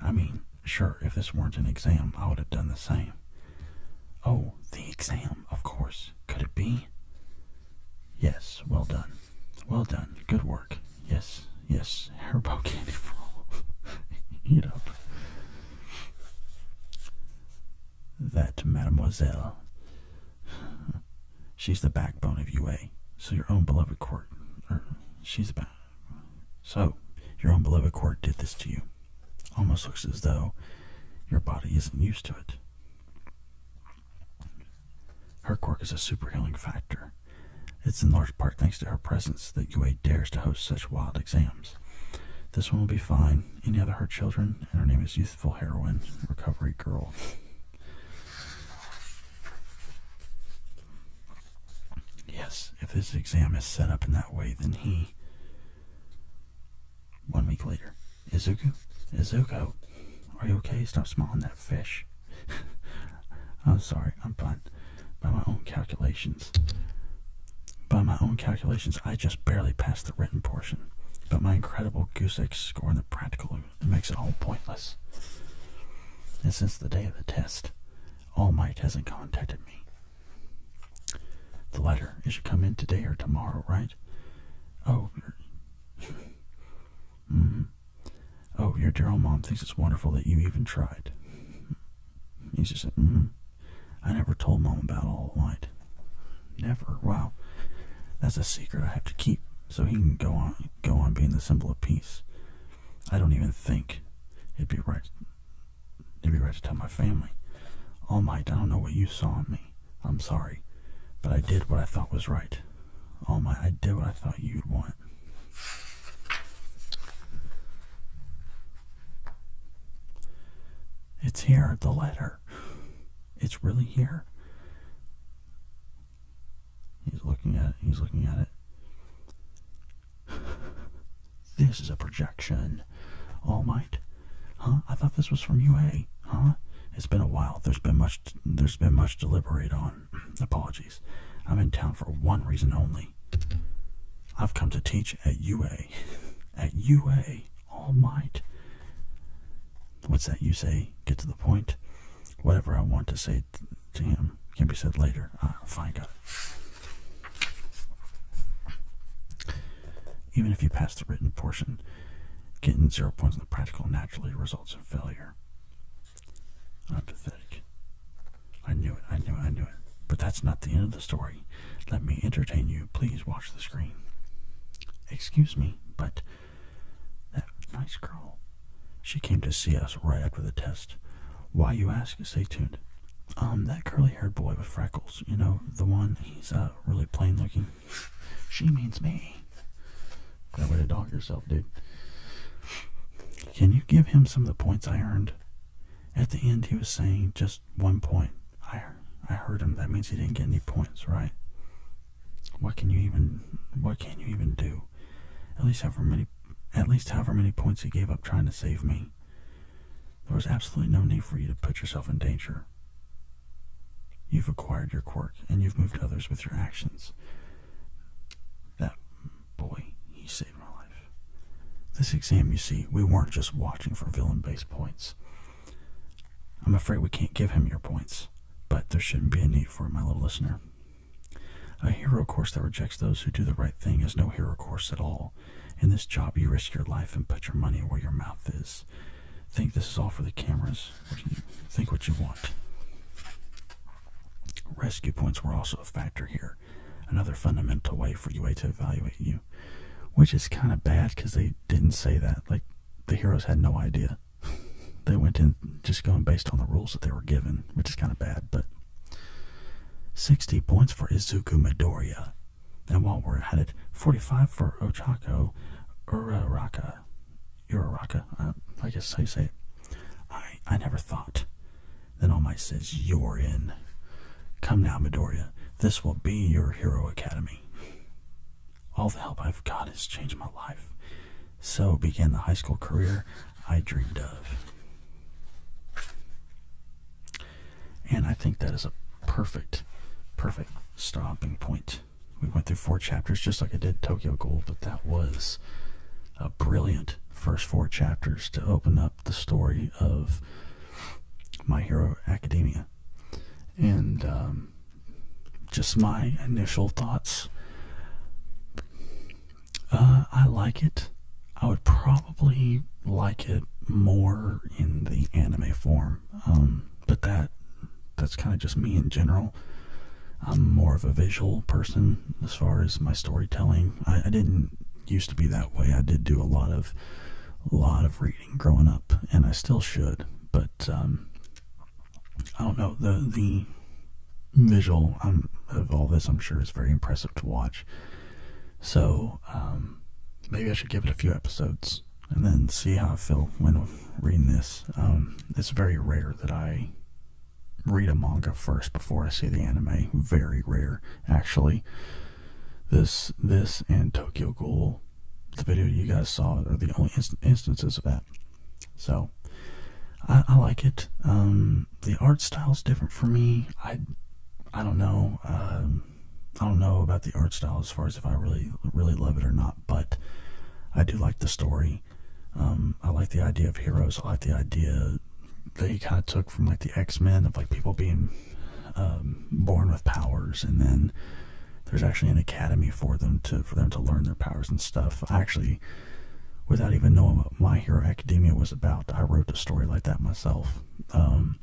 I mean, sure, if this weren't an exam, I would have done the same. Oh, the exam, of course. Could it be? Yes, well done. Well done. Good work. Yes, yes. Haribo candy for all. Eat up. That mademoiselle. She's the backbone of UA. So your own beloved court. Er, she's about. So your own beloved court did this to you. Almost looks as though your body isn't used to it. Her quirk is a super healing factor. It's in large part thanks to her presence that UA dares to host such wild exams. This one will be fine. Any other her children? And her name is Youthful Heroine Recovery Girl. Yes, if this exam is set up in that way, then he. One week later. Izuku? Izuku? Are you okay? Stop smiling that fish. I'm sorry, I'm fine by my own calculations. By my own calculations, I just barely passed the written portion, but my incredible goose egg score in the practical makes it all pointless. And since the day of the test, All Might hasn't contacted me. The letter, it should come in today or tomorrow, right? Oh, mm -hmm. oh, your dear old mom thinks it's wonderful that you even tried. He's just -hmm. I never told mom about all white. Never. Wow. That's a secret I have to keep so he can go on go on being the symbol of peace. I don't even think it'd be right it'd be right to tell my family. All oh, Might, I don't know what you saw in me. I'm sorry. But I did what I thought was right. All oh, Might, I did what I thought you'd want. It's here, the letter. It's really here. He's looking at it. He's looking at it. this is a projection. All Might. Huh? I thought this was from UA. Huh? It's been a while. There's been much there's been much to deliberate on. Apologies. I'm in town for one reason only. I've come to teach at UA. at UA All Might. What's that you say? Get to the point. Whatever I want to say to him can be said later. Ah, fine, got it. Even if you pass the written portion, getting zero points in the practical naturally results in failure. I'm pathetic. I knew it, I knew it, I knew it. But that's not the end of the story. Let me entertain you. Please watch the screen. Excuse me, but that nice girl. She came to see us right after the test. Why you ask? Stay tuned. Um, that curly-haired boy with freckles, you know, the one, he's, uh, really plain-looking. She means me. That way to dog yourself, dude. Can you give him some of the points I earned? at the end he was saying just one point. I I heard him. That means he didn't get any points, right? What can you even what can you even do? At least however many at least however many points he gave up trying to save me. There was absolutely no need for you to put yourself in danger. You've acquired your quirk and you've moved others with your actions. That boy, he saved my life. This exam, you see, we weren't just watching for villain base points. I'm afraid we can't give him your points, but there shouldn't be a need for it, my little listener. A hero course that rejects those who do the right thing is no hero course at all. In this job, you risk your life and put your money where your mouth is. Think this is all for the cameras. Think what you want. Rescue points were also a factor here, another fundamental way for UA to evaluate you. Which is kind of bad because they didn't say that. Like, the heroes had no idea. they went in just going based on the rules that they were given, which is kind of bad. But 60 points for Izuku Midoriya. And while we're at it, 45 for Ochako Uraraka. Uraraka, uh, I guess how you say it. I, I never thought. Then Omi says, You're in. Come now, Midoriya. This will be your Hero Academy. All the help I've got has changed my life. So began the high school career I dreamed of. And I think that is a perfect, perfect stopping point. We went through four chapters just like I did Tokyo Gold, but that was a brilliant first four chapters to open up the story of my Hero Academia, and um, just my initial thoughts. Uh, I like it. I would probably like it more in the anime form, um, but that that's kind of just me in general. I'm more of a visual person as far as my storytelling. I, didn't used to be that way. I did do a lot of a lot of growing up, and I still should, but um, I don't know the the visual um, of all this. I'm sure is very impressive to watch. So um, maybe I should give it a few episodes and then see how I feel when reading this. it's very rare that I read a manga first before I see the anime. Very rare, actually. This, this, and Tokyo Ghoul, the video you guys saw, are the only instances of that. So, I, like it. Um, the art style is different for me. I, I don't know. Um, I don't know about the art style as far as if I really, really love it or not. But I do like the story. Um, I like the idea of heroes. I like the idea that he kind of took from like the X Men of like people being um, born with powers, and then there's actually an academy for them to for them to learn their powers and stuff. actually, without even knowing what My Hero Academia was about, I wrote a story like that myself. Um,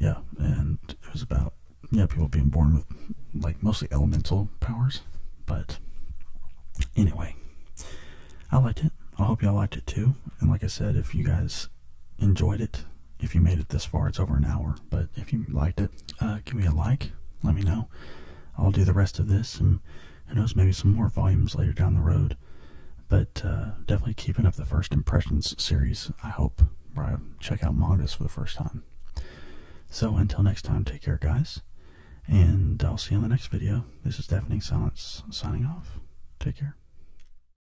yeah, and it was about yeah people being born with like mostly elemental powers, but anyway, I liked it. I hope y'all liked it too. And like I said, if you guys enjoyed it. If you made it this far, it's over an hour. But if you liked it, uh, give me a like. Let me know. I'll do the rest of this, and who knows, maybe some more volumes later down the road. But uh, definitely keeping up the first impressions series. I hope where I check out mangas for the first time. So until next time, take care, guys, and I'll see you in the next video. This is Deafening Silence signing off. Take care.